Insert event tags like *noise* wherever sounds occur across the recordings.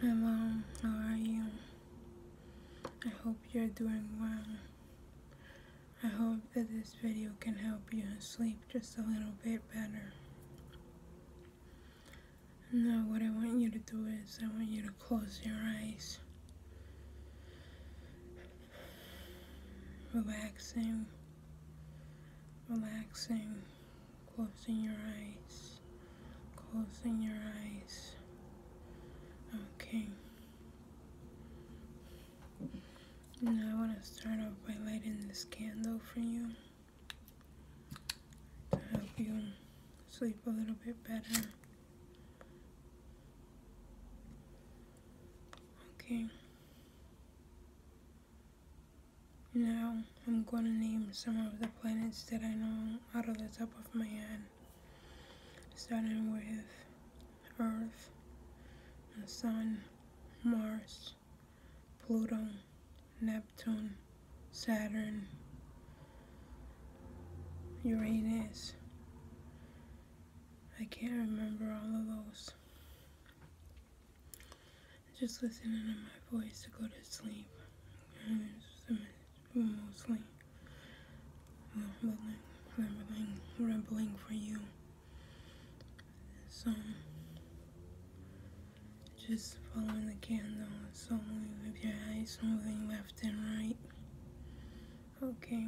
Hi mom, how are you? I hope you're doing well. I hope that this video can help you sleep just a little bit better. Now what I want you to do is I want you to close your eyes. Relaxing, relaxing, closing your eyes, closing your eyes. Okay. Now I want to start off by lighting this candle for you to help you sleep a little bit better. Okay. Now I'm going to name some of the planets that I know out of the top of my head. Starting with Earth, the Sun, Mars, Pluto, Neptune, Saturn, Uranus. I can't remember all of those just listening to my voice to go to sleep. Mostly rambling, rambling, rambling for you. So, just following the candle slowly with your eyes moving left and right. Okay.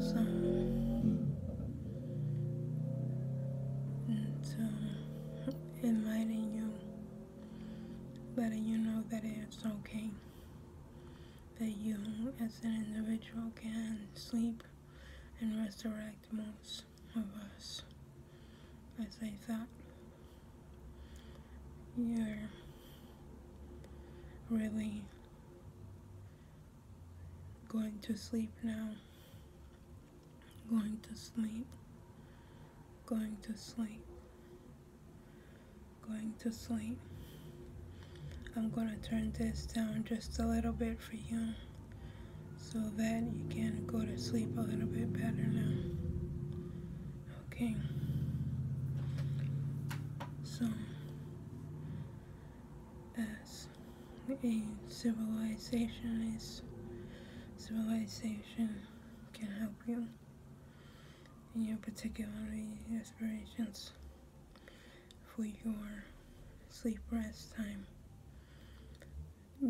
So, and um, enlightening you, letting you know that it's okay that you, as an individual, can sleep and resurrect most of us I say that You're really going to sleep now Going to sleep. Going to sleep. Going to sleep. I'm gonna turn this down just a little bit for you so that you can go to sleep a little bit better now. Okay. So, as a civilization is can help you in your particular aspirations for your sleep rest time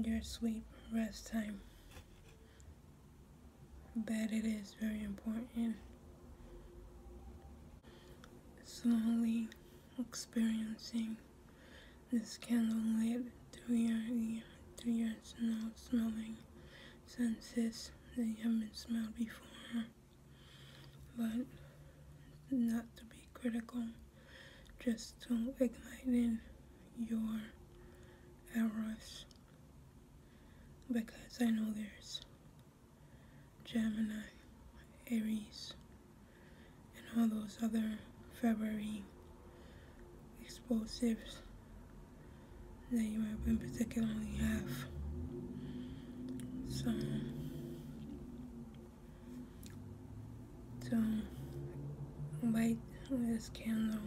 your sleep rest time But it is very important slowly experiencing this candlelit three, year, through your nose, smelling senses that you haven't smelled before. But not to be critical, just to ignite in your arrows. Because I know there's Gemini, Aries, and all those other February explosives that you might have particularly have. So, so light this candle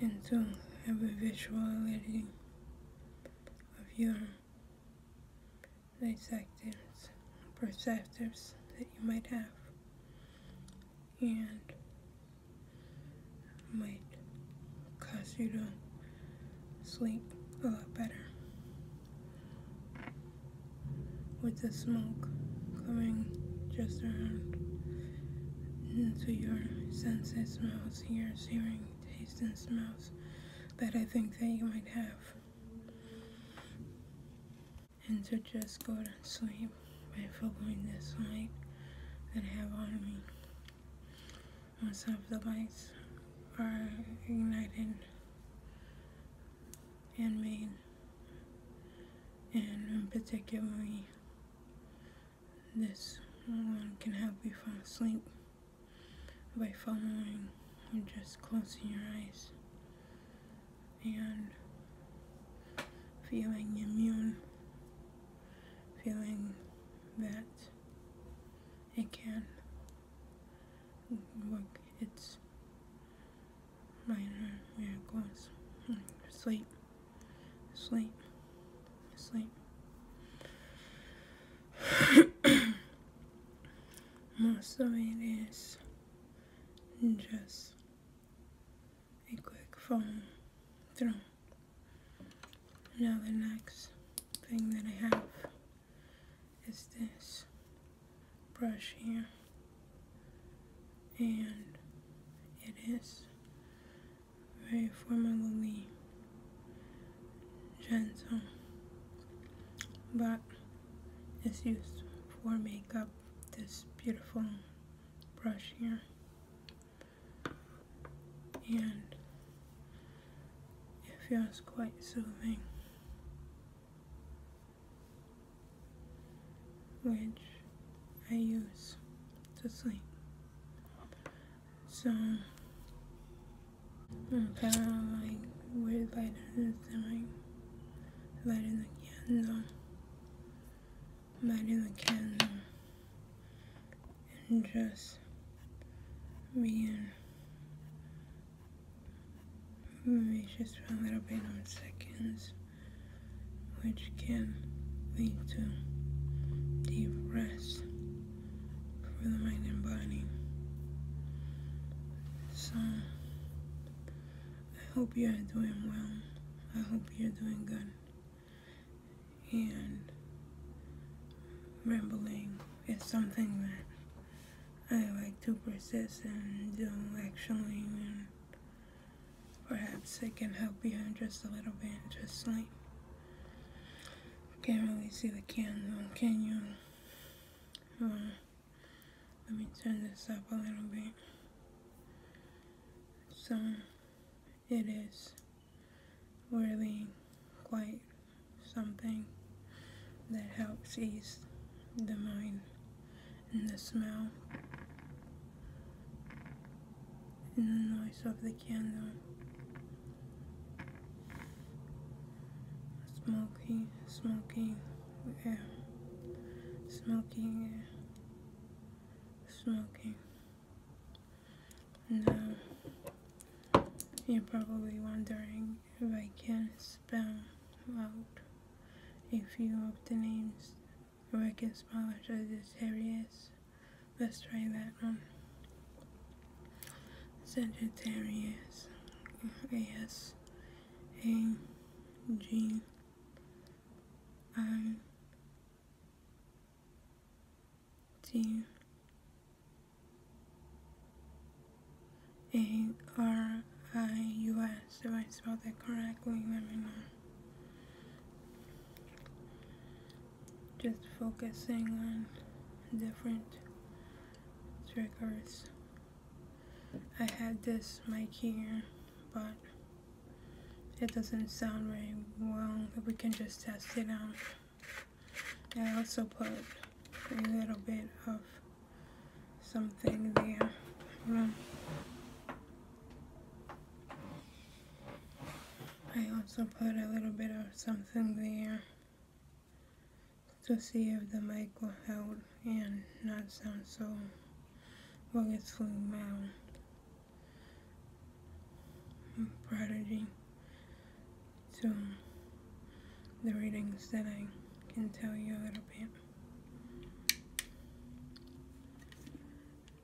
and to have a visuality of your dissectors, perceptors that you might have, and might cause you to sleep a lot better. With the smoke coming just around into your senses, smells, ears, hearing, taste, and smells that I think that you might have. And to just go to sleep by following this light that I have on me. Once of the lights are ignited and made, and particularly this one can help you fall asleep by following or just closing your eyes and feeling immune, feeling that it can work its minor miracles. Sleep, sleep, sleep. Most of it is just a quick phone through. Now the next thing that I have is this brush here. And it is very formally gentle, but it's used for makeup. This beautiful brush here, and it feels quite soothing, which I use to sleep. So, I'm kind of like weird light in the stomach, lighting the candle, lighting the candle, and just being maybe just for a little bit on seconds, which can lead to deep rest for the mind and body. So, I hope you're doing well. I hope you're doing good. And rambling is something that I like to persist and do actually. And perhaps I can help you just a little bit, just like can't really see the candle, can you? let me turn this up a little bit. So, it is really quite something that helps ease the mind and the smell and the noise of the candle. Smoking, smoking, yeah. Smoking, yeah. Smoking. Now, you're probably wondering if I can spell out a few of the names. If I can spell out as this areas. Let's try that one. Sagittarius. A S A G I T A R I U S. If I spelled that correctly, let me know just focusing on different triggers. I had this mic here, but it doesn't sound very well. We can just test it out. I also put a little bit of something there. Um, I also put a little bit of something there to see if the mic will help and not sound so well it's flew out. Prodigy So the readings that I can tell you a little bit.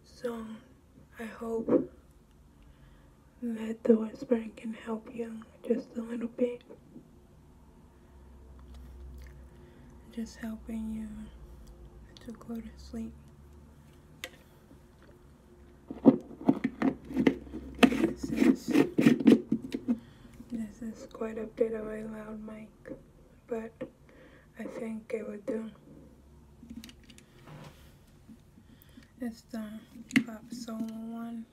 So, I hope that the whispering can help you just a little bit. Just helping you to go to sleep. This is, this is quite a bit of a loud mic, but I think it would do. It's the Pop Solo one.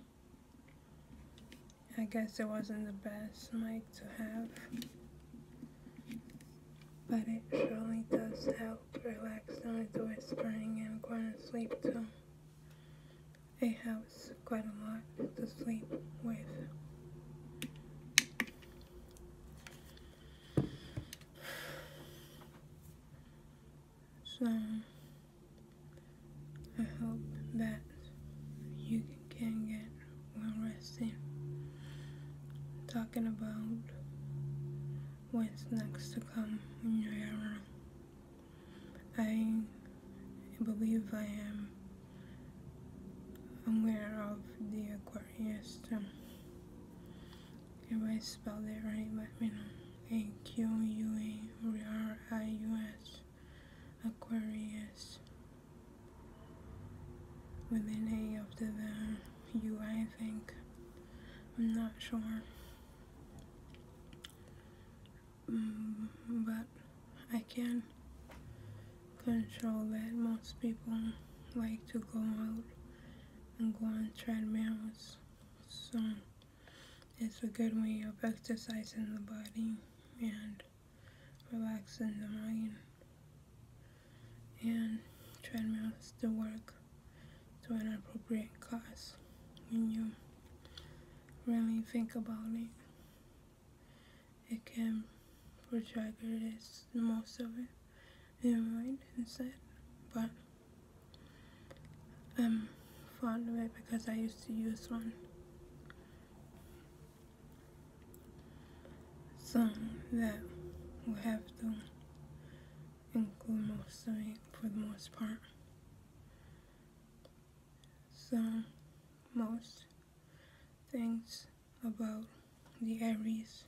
I guess it wasn't the best mic to have, but it surely does help relax down the whispering and going to sleep too. It helps quite a lot to sleep with. So I hope that you can get well rested. Talking about what's next to come in your era. I believe I am aware of the Aquarius I spell it right, but you know, A Q U A R I U S, Aquarius. With an A after the U, I think. I'm not sure. Mm, but I can control that. Most people like to go out and go on treadmills. So it's a good way of exercising the body and relaxing the mind. And treadmills to work to an appropriate class. when you really think about it. It can for triggers most of it in mind instead. But I'm um, far away because I used to use one. So that we have to include most of it for the most part. So most things about the Aries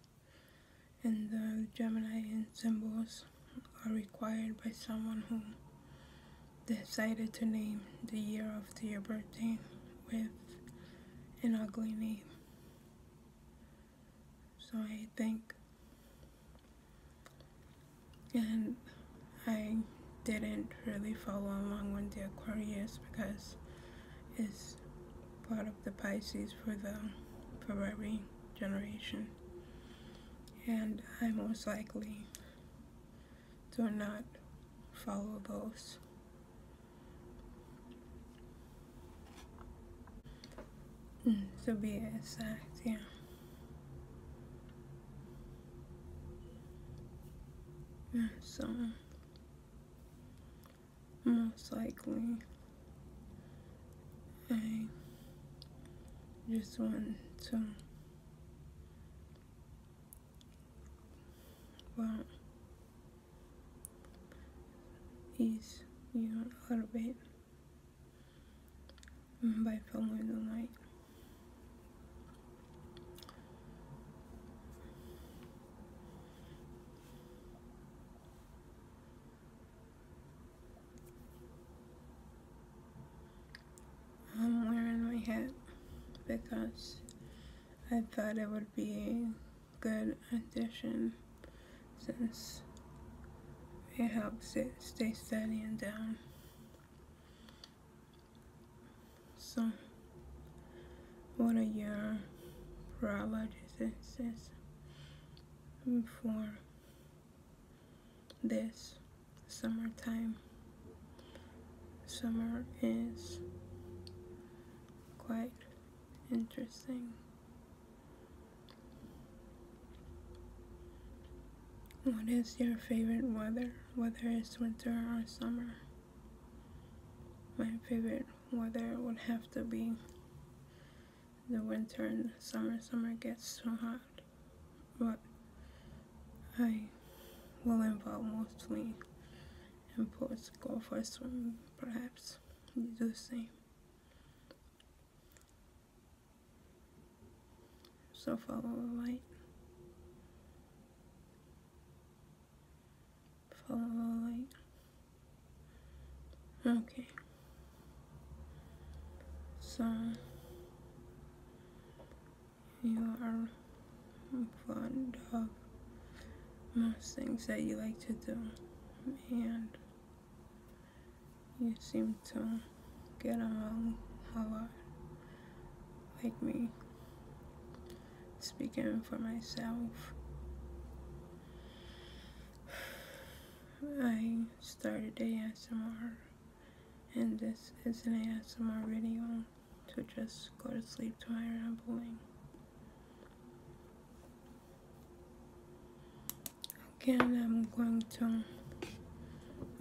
and the Gemini symbols are required by someone who decided to name the year after your birthday with an ugly name. So I think, and I didn't really follow along with the Aquarius because it's part of the Pisces for the Ferrari generation. And i most likely do not follow those. Mm, to be exact, yeah. yeah so most likely I just want to well ease you a little bit by following the light. I'm wearing my hat because I thought it would be a good addition since it helps it stay steady and down. So, what are your priorities? for this summertime. Summer is quite interesting. What is your favorite weather, whether it's winter or summer? My favorite weather would have to be the winter and the summer. Summer gets too hot. But I will involve mostly and put go for a swim. Perhaps do the same. So follow the light following. Okay. So you are fond of most things that you like to do and you seem to get along a lot like me speaking for myself I started ASMR and this is an ASMR video to just go to sleep tomorrow and boring. Again, I'm going to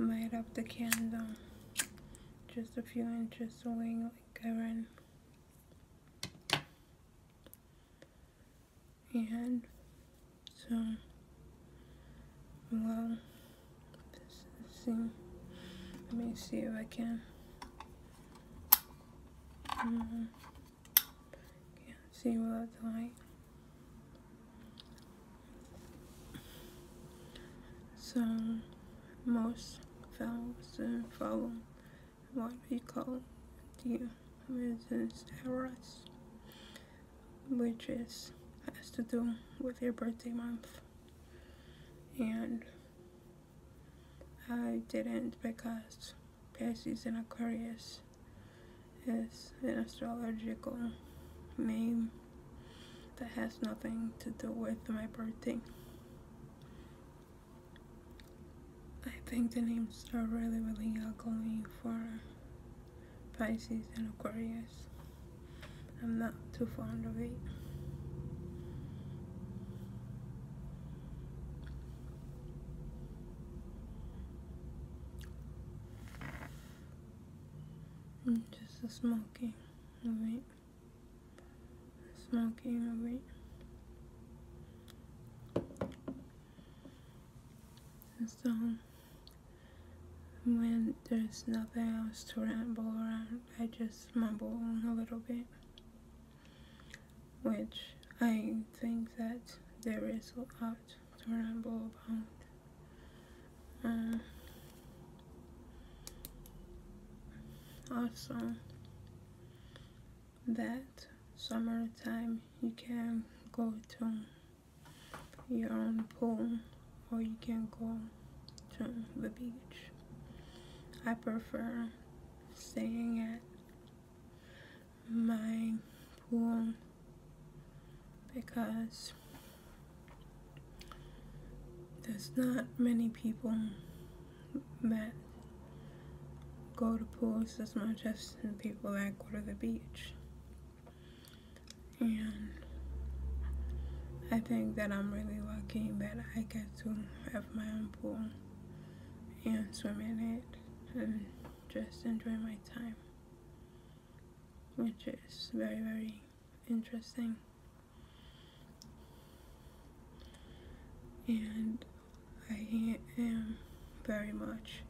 light up the candle just a few inches away like I ran and so low processing. Let me see if I can. can't mm-hmm. see without the light. So most vowels follow what we call the Mrs. Eros, which is has to do with your birthday month. And I didn't because Pisces and Aquarius is an astrological name that has nothing to do with my birthday. I think the names are really, really ugly for Pisces and Aquarius. I'm not too fond of it. Just smoking, smoky, smoking over it. And so, when there's nothing else to ramble around, I just mumble a little bit. Which I think that there is a lot to ramble about. Um, also, that summer time, you can go to your own pool or you can go to the beach. I prefer staying at my pool because there's not many people that go to pools as much as the people that go to the beach. And I think that I'm really lucky that I get to have my own pool and swim in it and just enjoy my time, which is very, very interesting and I am very much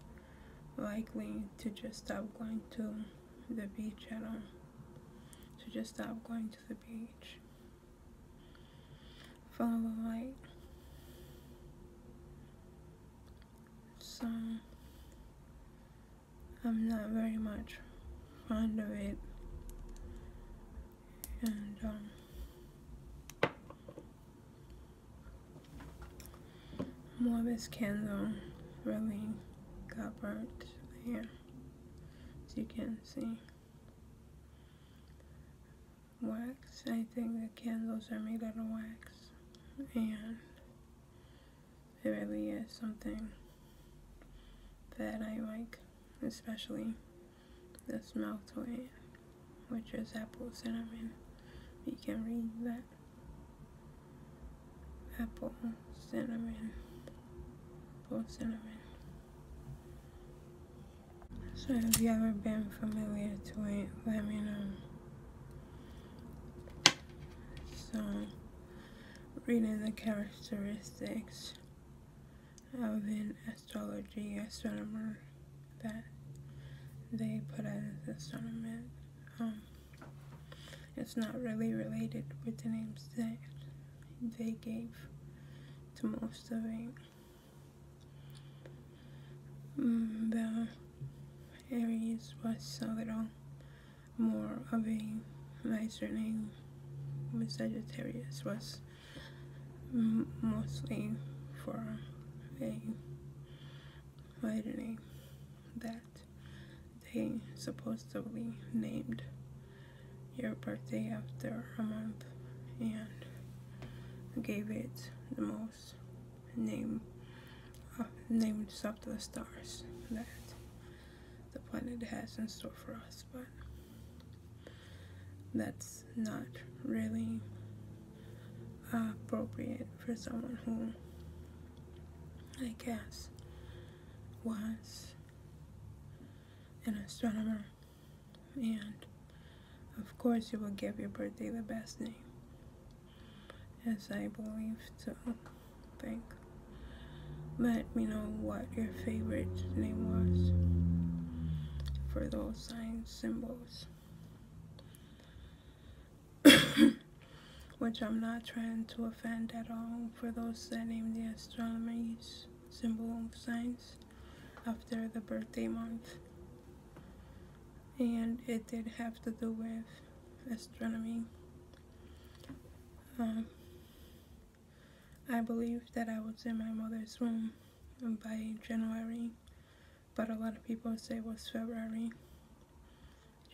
likely to just stop going to the beach at all. To just stop going to the beach. Follow the light. So I'm not very much fond of it and um, more of this candle really got burnt here as you can see wax I think the candles are made out of wax and it really is something that I like especially the smell to it, which is apple cinnamon. You can read that. Apple cinnamon. Apple cinnamon. So if you ever been familiar to it, let me know. So reading the characteristics of an astrology astronomer that they put out as astronomer. Um, it's not really related with the names that they gave to most of it. Mm, the Aries was a little more of a nicer name. Sagittarius was um, mostly for a vitamin that they supposedly named your birthday after a month and gave it the most name uh, named after the stars that the planet has in store for us but that's not really appropriate for someone who, I guess, was an astronomer. And of course, you will give your birthday the best name, as I believe to think. Let me know what? your favorite name was for those signs symbols. *coughs* Which I'm not trying to offend at all for those that name the astronomy symbol signs after the birthday month. And it did have to do with astronomy. Um, I believe that I was in my mother's womb by January, but a lot of people say it was February.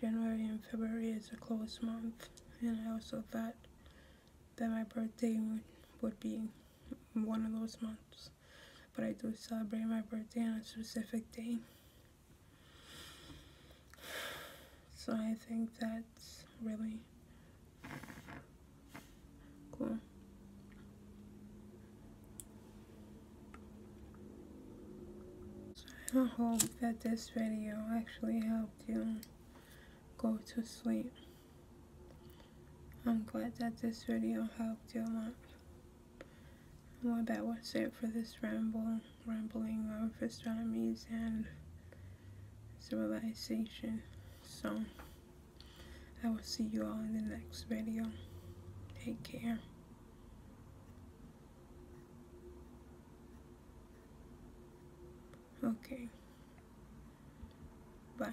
January and February is a close month, and I also thought that my birthday would, would be one of those months, but I do celebrate my birthday on a specific day. So I think that's really I hope that this video actually helped you go to sleep. I'm glad that this video helped you a lot. Well, that was it for this ramble, rambling of astronomy and civilization. So. I will see you all in the next video. Take care. Okay. Bye.